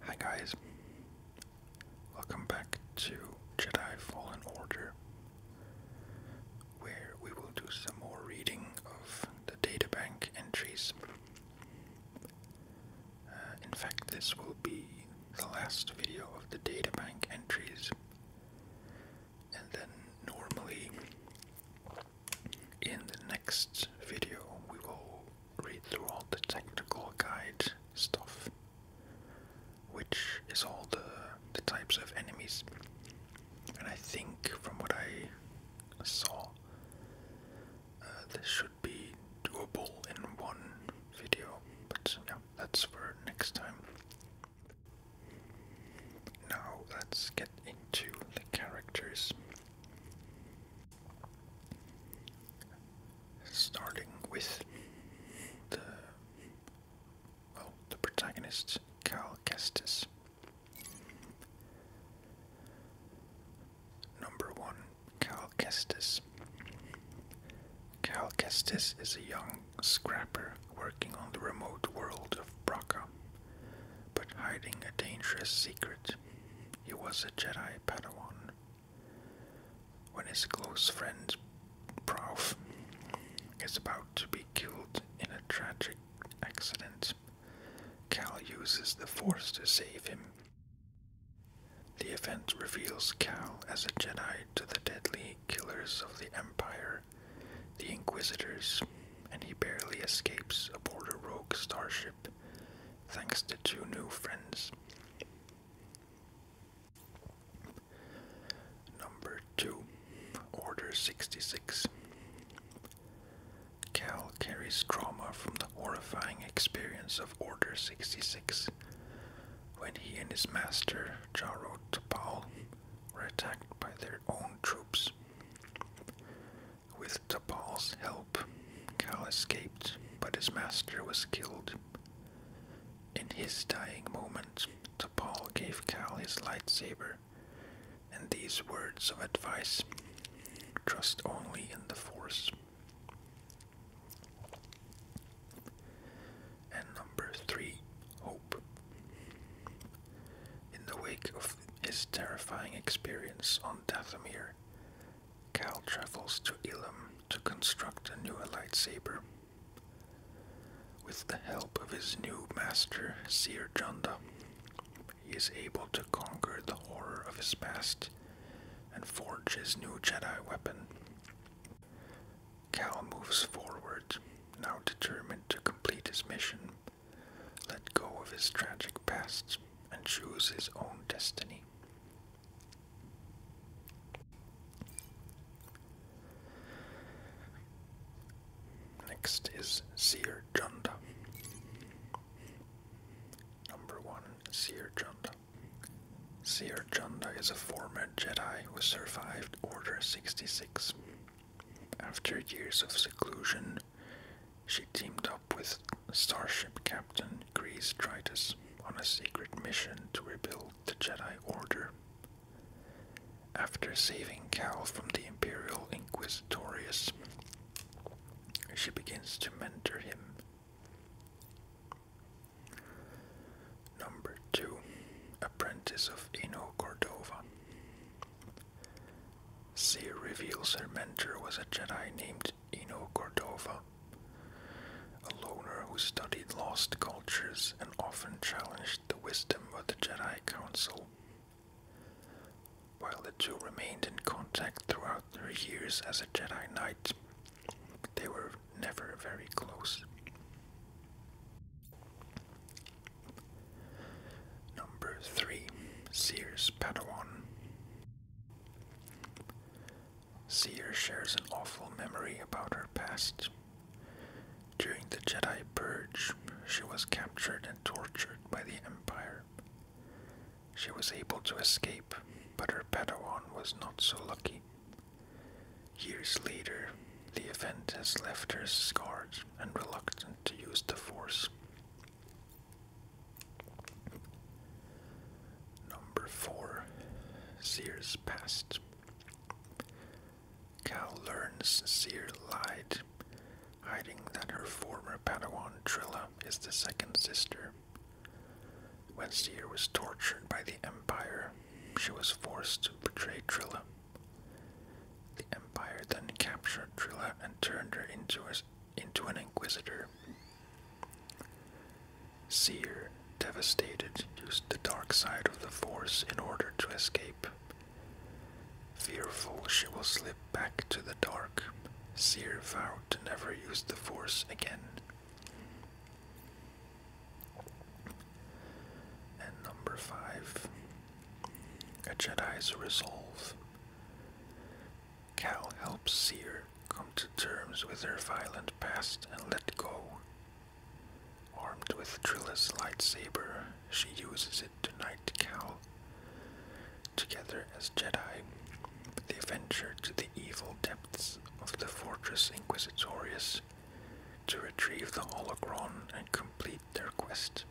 Hi guys, welcome back to Jedi Fallen Order, where we will do some more reading of the databank entries. Uh, in fact, this will be the last video of the databank entries and then normally in the next video we will read through all the technical guide stuff which is all the the types of enemies and I think from what I saw uh, this should be doable in one video but no, that's for next time now let's get into the characters. Starting with the well, the protagonist Cal Kestis. Number one, Cal Kestis. is a young young scrapper working on the remote world of Braca, but hiding a dangerous secret. He was a Jedi Padawan. When his close friend Prof is about to be killed in a tragic accident, Cal uses the Force to save him. The event reveals Cal as a Jedi to the deadly killers of the Empire the Inquisitors, and he barely escapes aboard a rogue starship thanks to two new friends. Number 2 Order 66 Cal carries trauma from the horrifying experience of Order 66 when he and his master, Jaro Topal, were attacked by their own troops. With Tapal's help, Cal escaped, but his master was killed. In his dying moment, Tapal gave Cal his lightsaber and these words of advice trust only in the Force and number three, hope. In the wake of his terrifying experience on Dathomir, Cal travels to Ilum to construct a new lightsaber. With the help of his new master, Seer Junda, he is able to conquer the horror of his past and forge his new Jedi weapon, Cal moves forward, now determined to complete his mission, let go of his tragic pasts, and choose his own destiny. Next is Seer Junda. Number 1 Seer Junda. Seer Janda is a former Jedi who survived Order 66 after years of seclusion, she teamed up with starship captain Grease Tritus on a secret mission to rebuild the Jedi Order. After saving Cal from the Imperial Inquisitorius, she begins to mentor him. Number 2. Apprentice of Eno Cordova. C reveals her mentor was a Jedi named Eno Cordova, a loner who studied lost cultures and often challenged the wisdom of the Jedi Council. While the two remained in contact throughout their years as a Jedi Knight, they were never very close. Number 3. Seer's Padawan. Seer shares an awful memory about her past. During the Jedi Purge, she was captured and tortured by the Empire. She was able to escape, but her Padawan was not so lucky. Years later, the event has left her scarred and reluctant to use the force. Number 4 Seer's Past Cal learns Seer lied, hiding that her former Padawan Trilla is the second sister. When Seer was tortured by the Empire, she was forced to betray Trilla the Empire then captured Trilla and turned her into, into an inquisitor. Seer, devastated, used the dark side of the Force in order to escape. Fearful she will slip back to the dark, Seer vowed to never use the Force again. And number five, a Jedi's resolve. Cal helps Seer come to terms with her violent past and let go. Armed with Trilla's lightsaber, she uses it to knight Cal. Together as Jedi, they venture to the evil depths of the Fortress Inquisitorius to retrieve the holocron and complete their quest.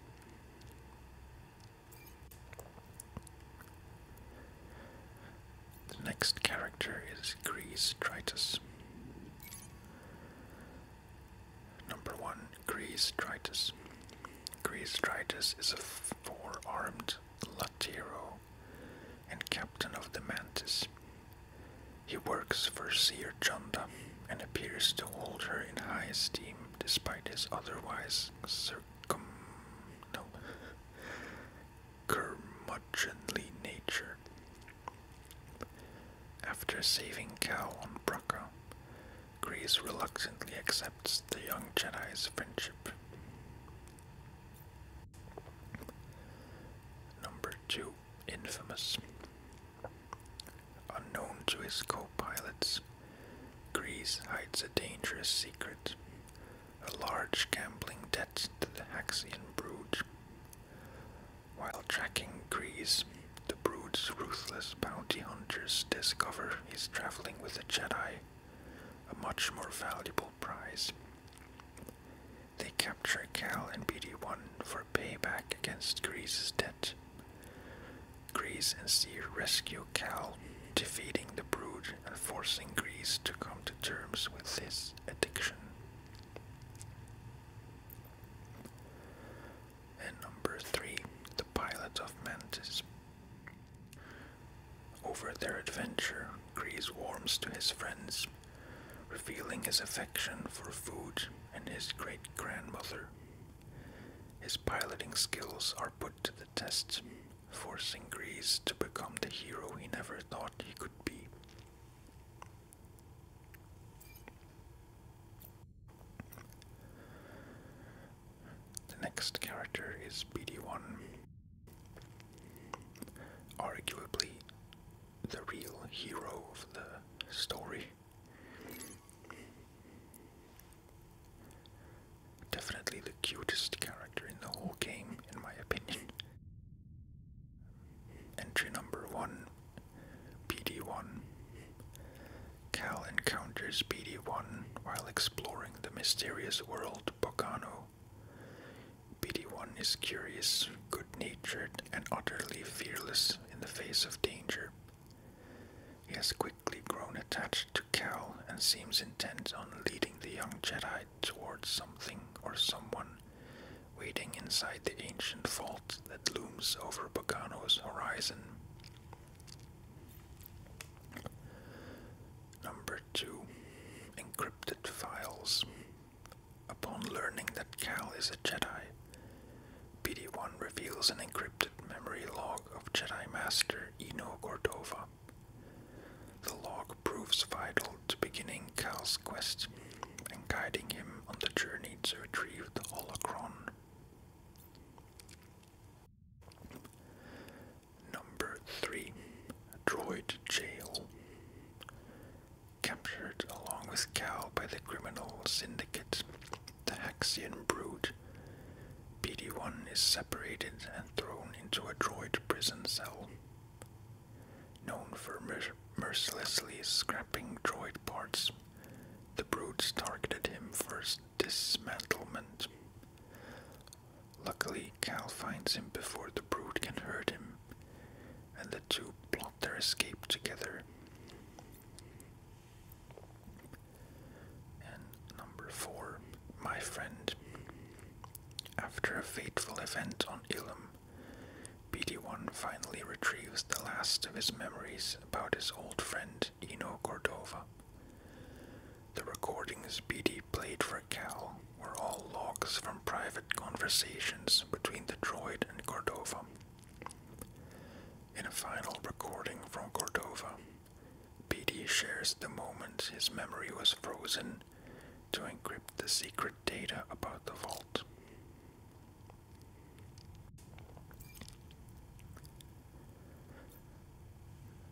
The next character is Grease Tritus. Number 1 Grease Tritus. Grease Tritus is a four armed Latiro and captain of the Mantis. He works for Seer Chunda and appears to hold her in high esteem despite his otherwise circum no curmudgeonly nature. After saving Cal on Bracca, Grease reluctantly accepts the young Jedi's friendship. Number two, infamous. Unknown to his co pilots, Grease hides a dangerous secret a large gambling debt to the Haxian brood. While tracking Grease, the brood's ruthless bounty hunters discover he's traveling with a Jedi, a much more valuable prize. They capture Cal and BD-1 for payback against Grease's debt. Grease and Steve rescue Cal, defeating the Brood and forcing Grease to come to terms with his addiction. And number three, the pilot of Mantis. Over their adventure, Grease warms to his friends revealing his affection for food and his great grandmother. His piloting skills are put to the test, forcing Grease to become the hero he never thought he could be. The next character is BD1, arguably the real hero of the story. Definitely the cutest character in the whole game, in my opinion. Entry number one PD1. Cal encounters PD one while exploring the mysterious world Bogano. PD one is curious, good natured, and utterly fearless in the face of danger. He has quickly grown attached to Cal and seems intent on leading the young Jedi toward something or someone waiting inside the ancient vault that looms over Bogano's horizon. Number 2 Encrypted Files Upon learning that Cal is a Jedi, pd one reveals an encrypted memory log of Jedi Master Eno Cordova. The log proves vital to beginning Cal's quest and guiding him on the journey to retrieve the holocron. Number 3. Droid Jail captured along with Cal by the criminal syndicate, the Haxian Brute. pd one is separated and thrown into a droid prison cell. Known for mercilessly scrapping droid parts, the Broods targeted him for dismantlement. Luckily, Cal finds him before the Brute can hurt him, and the two their escape together. And number four, my friend. After a fateful event on Ilum, BD1 finally retrieves the last of his memories about his old friend Eno Cordova. The recordings BD played for Cal were all logs from private conversations between the droid and Cordova. In a final recording from Cordova, PD shares the moment his memory was frozen to encrypt the secret data about the vault.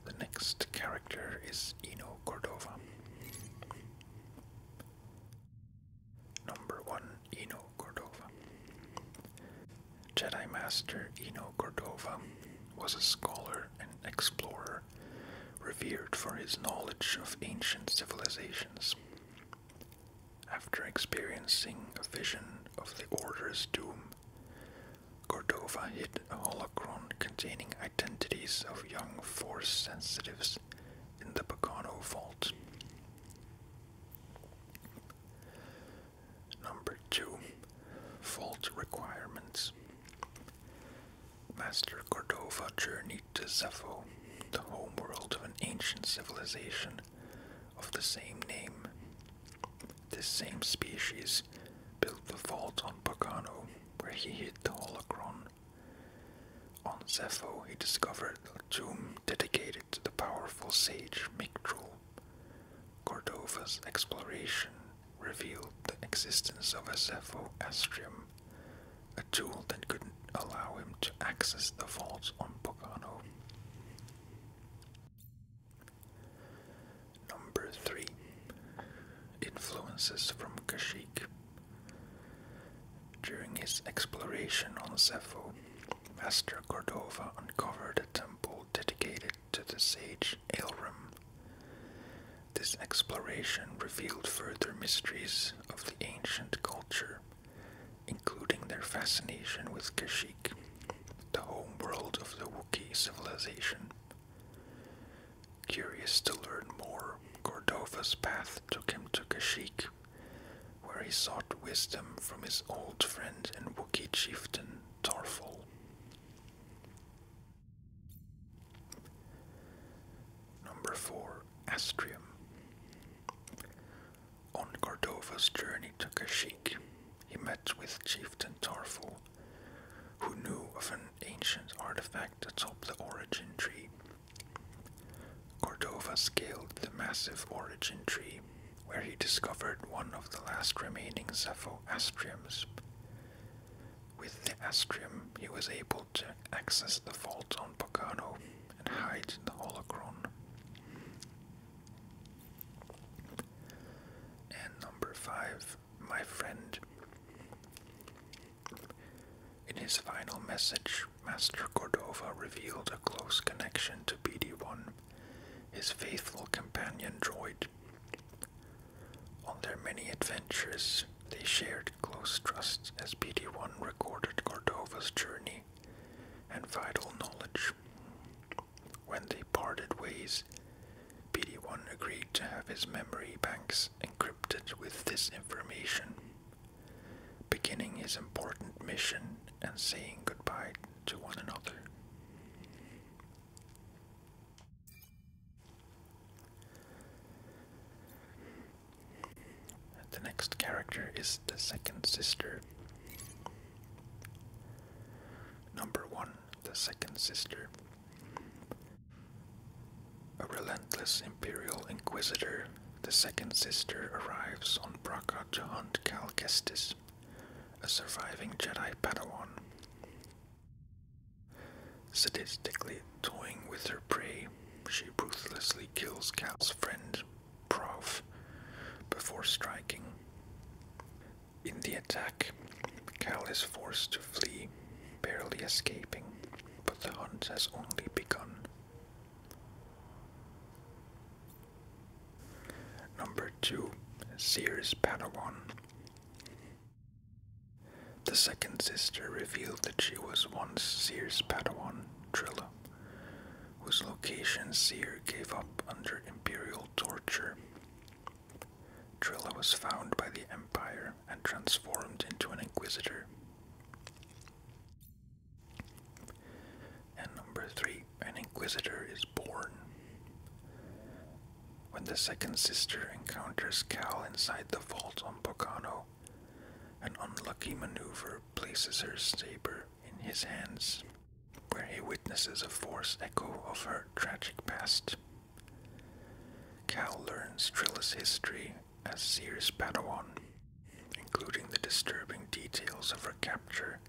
The next character is Eno Cordova. Number 1 Eno Cordova. Jedi Master Eno Cordova was a scholar and explorer revered for his knowledge of ancient civilizations. After experiencing a vision of the Order's doom, Cordova hid a holocron containing identities of young Force sensitives in the Pagano Vault. Number two, fault requirements. Master Cordova journeyed to Zephon, the home world of an ancient civilization of the same name. This same species built the vault on Pagano, where he hid the holocron. On Zephon, he discovered a tomb dedicated to the powerful sage Mictrol. Cordova's exploration revealed the existence of a Zepho-Astrium, a tool that could allow him to access the vaults on Pogano. Number 3. Influences from Kashyyyk during his exploration on Zepho, Master Cordova uncovered a temple dedicated to the sage Aelrim. This exploration revealed further mysteries of the ancient culture, including their fascination with Kashik, the home world of the Wookiee civilization. Curious to learn more, Cordova's path took him to Kashik where he sought wisdom from his old friend and Wookie chieftain Tarful. Number 4. Astrium. On Cordova's journey to Kashyyyk, he met with chieftain Tarful, who knew of an ancient artifact atop the origin tree Cordova scaled the massive origin tree, where he discovered one of the last remaining Zepho-astriums. With the astrium, he was able to access the vault on Pocano and hide the holocron. And number five, my friend. In his final message, Master Cordova revealed a close connection to BD1, his faithful companion droid. On their many adventures, they shared close trust as BD1 recorded Cordova's journey and vital knowledge. When they parted ways, BD1 agreed to have his memory banks encrypted with this information, beginning his important mission and saying goodbye to one another. The next character is the second sister. Number one, the second sister. A relentless imperial inquisitor the second sister arrives on Braca to hunt Calkestis, a surviving Jedi Padawan. Statistically, toying with her prey, she ruthlessly kills Cal's friend, Prof, before striking. In the attack, Cal is forced to flee, barely escaping, but the hunt has only begun. Number 2. Seer's Padawan. The second sister revealed that she was once Seer's Padawan, Trilla, whose location Seer gave up under imperial torture. Trilla was found by the Empire and transformed into an Inquisitor. And number three, an inquisitor is born. When the second sister encounters Cal inside the vault on Pocano, an unlucky maneuver places her saber in his hands, where he witnesses a forced echo of her tragic past. Cal learns Trilla's history as Seer's Padawan, including the disturbing details of her capture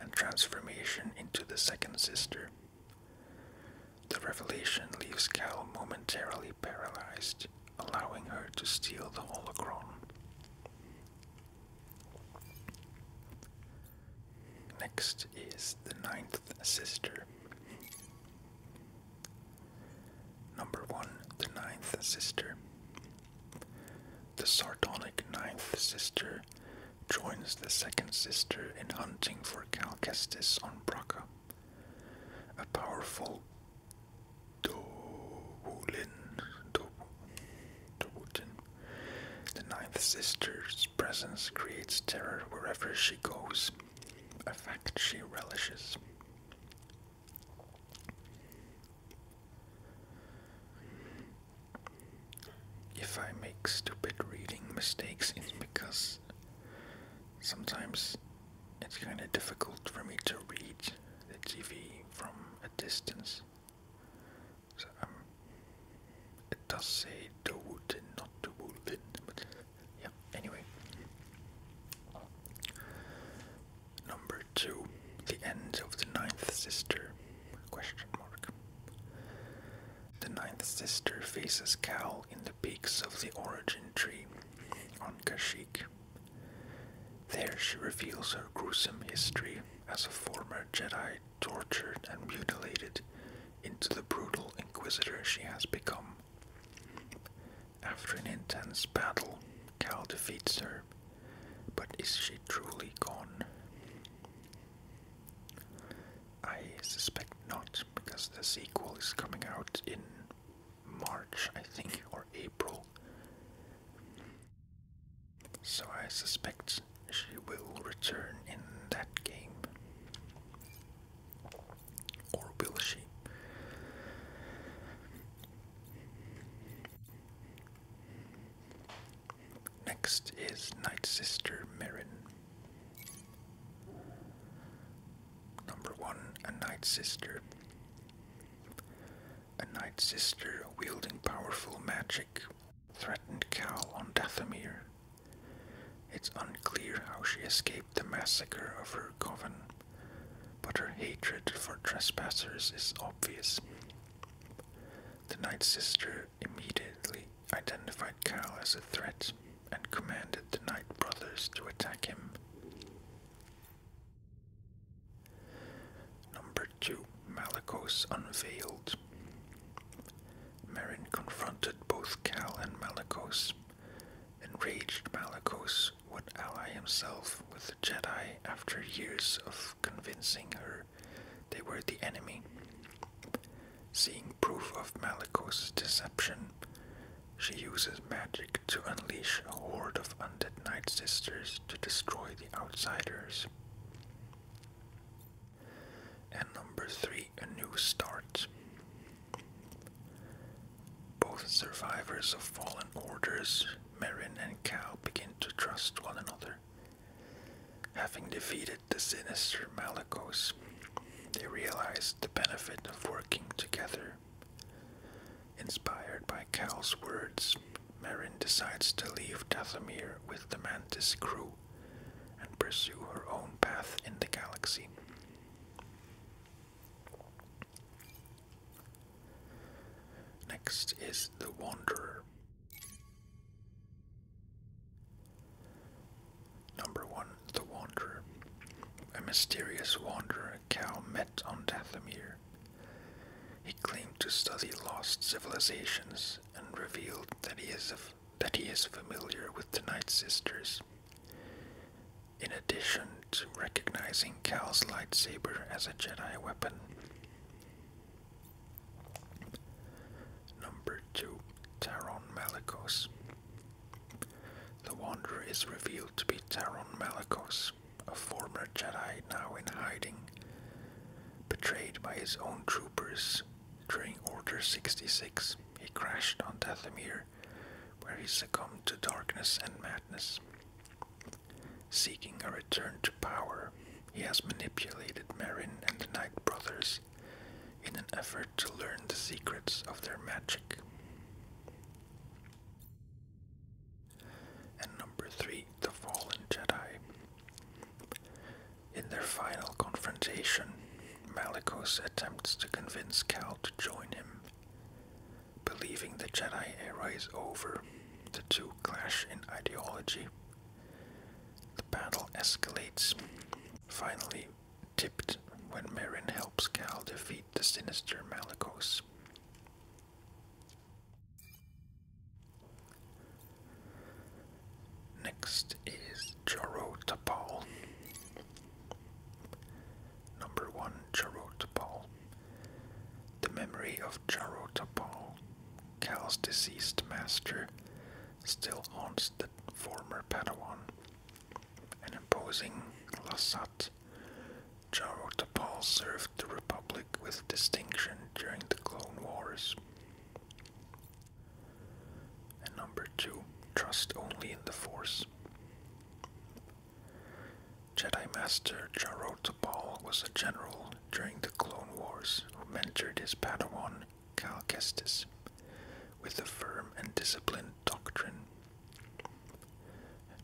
and transformation into the Second Sister. The revelation leaves Cal momentarily paralyzed, allowing her to steal the holocron. Next is the Ninth Sister. Number 1 The Ninth Sister. The sardonic ninth sister joins the second sister in hunting for Calcestis on Braca. A powerful the ninth sister's presence creates terror wherever she goes, a fact she relishes. If I make stupid reading mistakes, it's because sometimes it's kind of difficult for me to read the TV from a distance. So um, it does say Dowootin, not Dowootin, but yeah, anyway. Number two, the end of the ninth sister? Question mark. The ninth sister faces Cal in the peaks of the origin tree on Kashyyyk. There she reveals her gruesome history as a former Jedi tortured and mutilated into the brutal inquisitor she has become. After an intense battle, Cal defeats her, but is she truly gone? I suspect not, because the sequel is coming out in March, I think, or April. So I suspect she will return in that game. Or will she? Next is Night Sister Merrin. Number one, a Night Sister. A Night Sister wielding powerful magic threatened Cal on Dathomir. It's unclear how she escaped the massacre of her coven but her hatred for trespassers is obvious. The Night Sister immediately identified Cal as a threat and commanded the knight Brothers to attack him. Number 2 Malakos Unveiled. Marin confronted both Cal and Malakos. Enraged Malakos Rose would ally himself with the Jedi after years of convincing her they were the enemy. Seeing proof of Malikos deception, she uses magic to unleash a horde of undead Night Sisters to destroy the outsiders. And number 3, A New Start. Both survivors of fallen orders Marin and Cal begin to trust one another. Having defeated the sinister Malakos, they realize the benefit of working together. Inspired by Cal's words, Marin decides to leave Dathomir with the Mantis crew and pursue her own path in the galaxy. Next is the Wanderer. Number 1. The Wanderer. A mysterious wanderer Cal met on Dathomir. He claimed to study lost civilizations and revealed that he is, that he is familiar with the Night Sisters. In addition, recognizing Cal's lightsaber as a Jedi weapon. Number 2. Taron Malakos. The Wanderer is revealed to be Taron Malakos, a former Jedi now in hiding, betrayed by his own troopers during Order 66. He crashed on Dathomir, where he succumbed to darkness and madness. Seeking a return to power, he has manipulated Marin and the Knight brothers in an effort to learn the secrets of their magic. And number three, the Fallen Jedi. In their final confrontation, Malikos attempts to convince Cal to join him. Believing the Jedi era is over, the two clash in ideology. The battle escalates, finally tipped when Marin helps Cal defeat the sinister Malakos. Next is Joro Tapal. Number one Joro Tapal the memory of Tapal, Cal's deceased master, still haunts the former Padawan. An imposing Lasat, Tapal served the Republic with distinction during the Clone Wars. And number two, trust only in the Force. Jedi Master Jaro Tapal was a general during the Clone Wars who mentored his Padawan Cal Kestis with a firm and disciplined doctrine.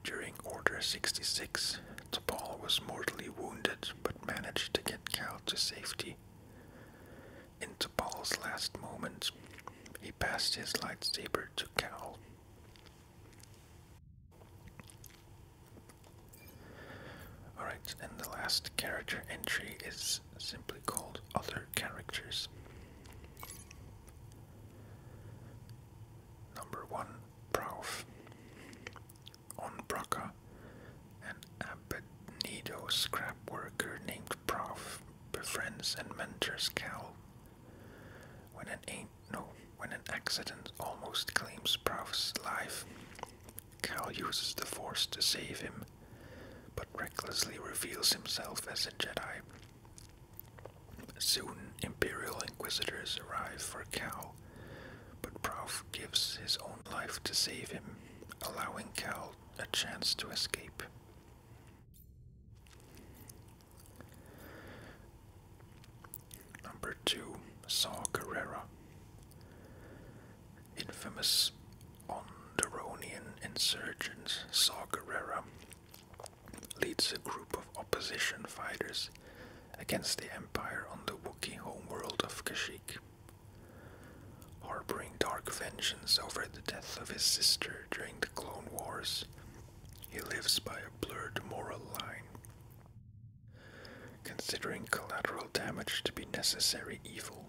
During Order 66, Tapal was mortally wounded but managed to get Cal to safety. In Tapal's last moments, he passed his lightsaber to Cal. Alright, and the last character entry is simply called Other Characters. Number 1 Prouf, Onbraka, an Abednego scrap worker named Prouf, befriends and mentors Cal. When an no, when an accident almost claims Proust's life, Cal uses the Force to save him, but recklessly reveals himself as a Jedi. Soon, Imperial Inquisitors arrive for Cal, but Prouf gives his own life to save him, allowing Cal a chance to escape. Number two, Saw Gerrera. Infamous Onderonian insurgent Saw Gerrera leads a group of opposition fighters against the Empire on the Wookiee homeworld of Kashyyyk. Harboring dark vengeance over the death of his sister during the Clone Wars, he lives by a blurred moral line considering collateral damage to be necessary evil.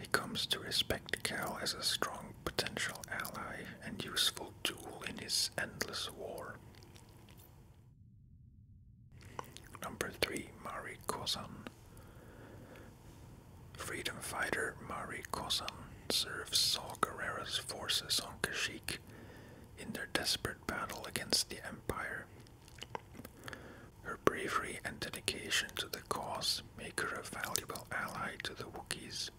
He comes to respect Cal as a strong potential ally and useful tool in his endless war. Number 3 Mari Kozan. Freedom fighter Mari Kozan serves Saul Guerrera's forces on Kashyyyk in their desperate battle against the Empire. Her bravery and dedication to the cause make her a valuable ally to the Wookiees.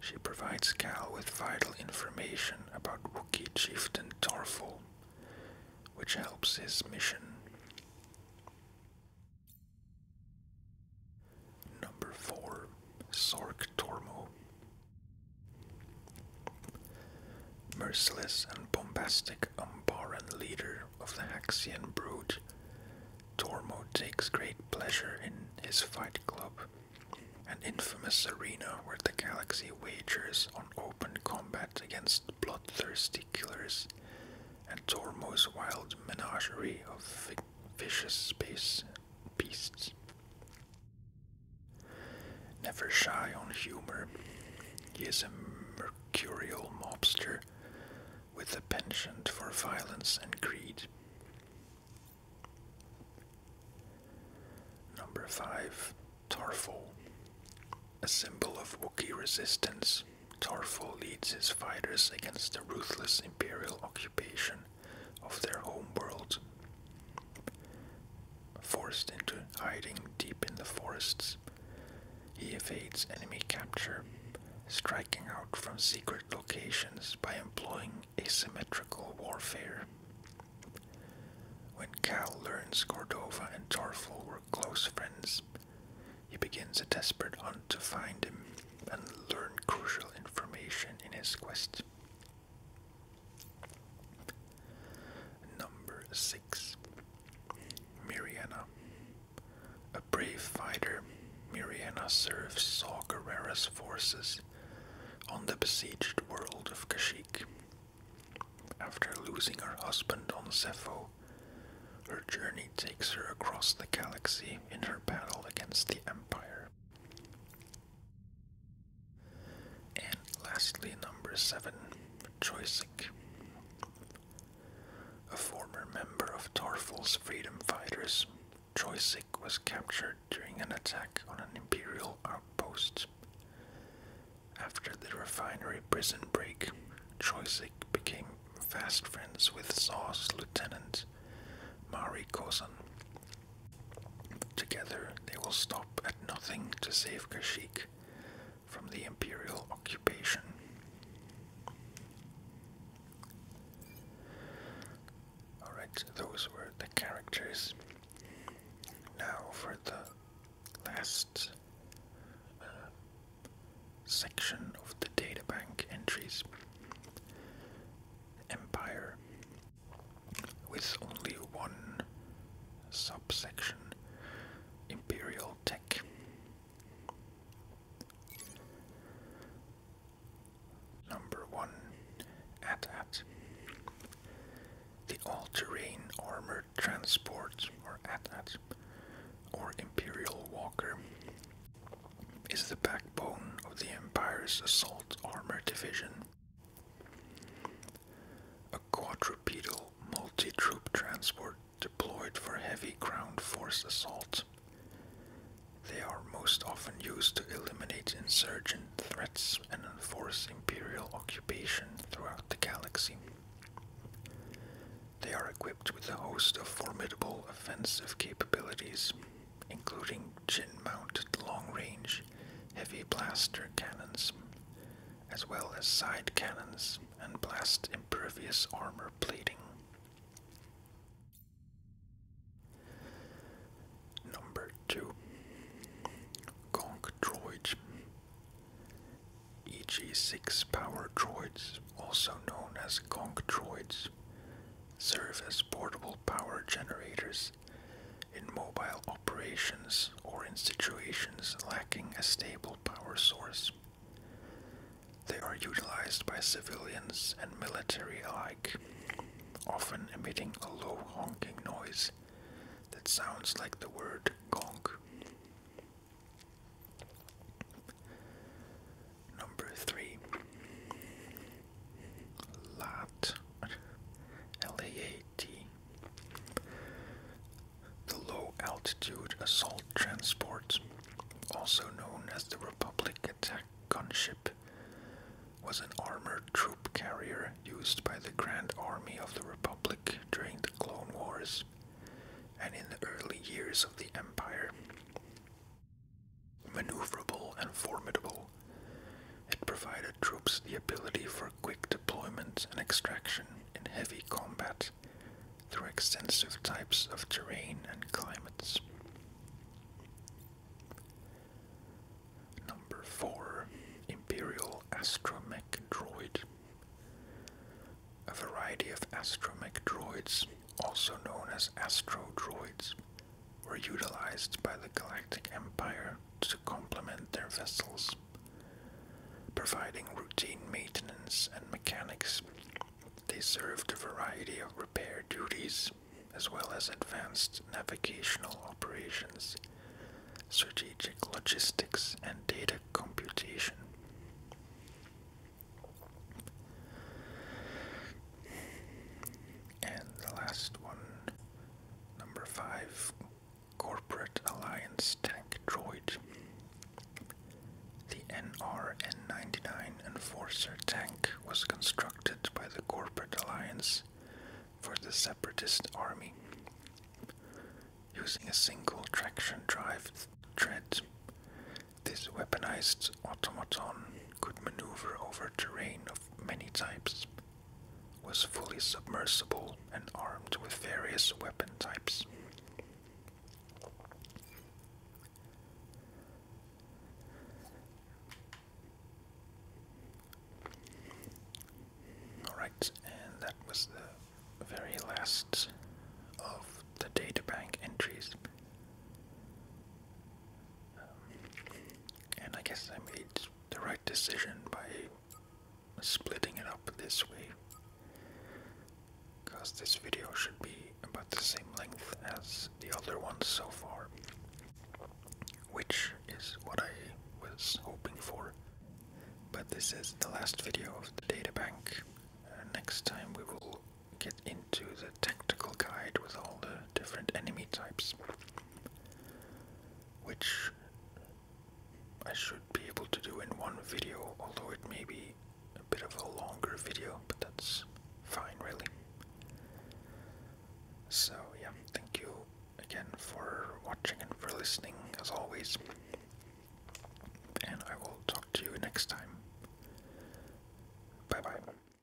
She provides Cal with vital information about Wookiee chieftain Torful, which helps his mission. Number 4. Sork Tormo. Merciless and bombastic Umbaran leader of the Haxian brood, Tormo takes great pleasure in his fight club, an infamous arena where the galaxy wagers on open combat against bloodthirsty killers and Tormo's wild menagerie of vicious space beasts. Never shy on humor, he is a mercurial mobster with a penchant for violence and greed. Number 5. Tarful. A symbol of Wookiee resistance, Tarful leads his fighters against the ruthless Imperial occupation of their home world, forced into hiding deep in the forests. He evades enemy capture, striking out from secret locations by employing asymmetrical warfare. When Cal learns Cordova and Torfel were close friends, he begins a desperate hunt to find him and learn crucial information in his quest. Number 6. Miriana. A brave fighter, Miriana serves Saw Gerrera's forces on the besieged world of Kashyyyk. After losing her husband on Zepho, her journey takes her across the galaxy in her battle against the Empire. And lastly, number seven, Choisik, a former member of Tarful's freedom fighters. Choisik was captured during an attack on an imperial outpost. After the refinery prison break, Choisik became fast friends with Saw's lieutenant, Mari Cousin. Together they will stop at nothing to save Kashik from the Imperial occupation. Alright, those were the characters. Now for the last uh, section of the databank entries empire with only one subsection imperial tech. Number 1 AT-AT The all-terrain armored transport or AT-AT or imperial walker is the backbone of the Empire's assault armor division. A quadrupedal multi troop transport deployed for heavy ground force assault. They are most often used to eliminate insurgent threats and enforce imperial occupation throughout the galaxy. They are equipped with a host of formidable offensive capabilities, including chin-mounted long-range heavy blaster cannons, as well as side cannons and blast-impervious armor plating. Number 2. Gonk Droid EG6 power droids, also known as Gonk droids, serve as portable power generators in mobile operations or in situations lacking a stable power source. They are utilized by civilians and military alike, often emitting a low honking noise that sounds like the word gong. Number three, Lat, L-A-A-T, the Low Altitude Assault Transport, also known as the Republic Attack Gunship, was an armored troop carrier used by the Grand Army of the Republic during the Clone Wars and in the early years of the Empire. Maneuverable and formidable, it provided troops the ability for quick deployment and extraction in heavy combat through extensive types of terrain and climates. Number 4 Imperial Astromech Droid. A variety of astromech droids, also known as astro droids, were utilized by the Galactic Empire to complement their vessels, providing routine maintenance and mechanics. They served a variety of repair duties as well as advanced navigational operations, strategic logistics, and data computation. And the last one, number five, Corporate Alliance Tank Droid. The NRN99 Enforcer tank was constructed by the Corporate Alliance for the Separatist Army. Using a single traction drive tread, this weaponized automaton could maneuver over terrain of many types, was fully submersible and armed with various weapon types. Alright, and that was the very last of the databank entries and I guess I made the right decision by splitting it up this way because this video should be about the same length as the other ones so far, which is what I was hoping for. But this is the last video of the data bank. Uh, next time we will get into the a tactical guide with all the different enemy types, which I should be able to do in one video, although it may be a bit of a longer video, but that's fine, really. So, yeah, thank you again for watching and for listening, as always. And I will talk to you next time. Bye bye.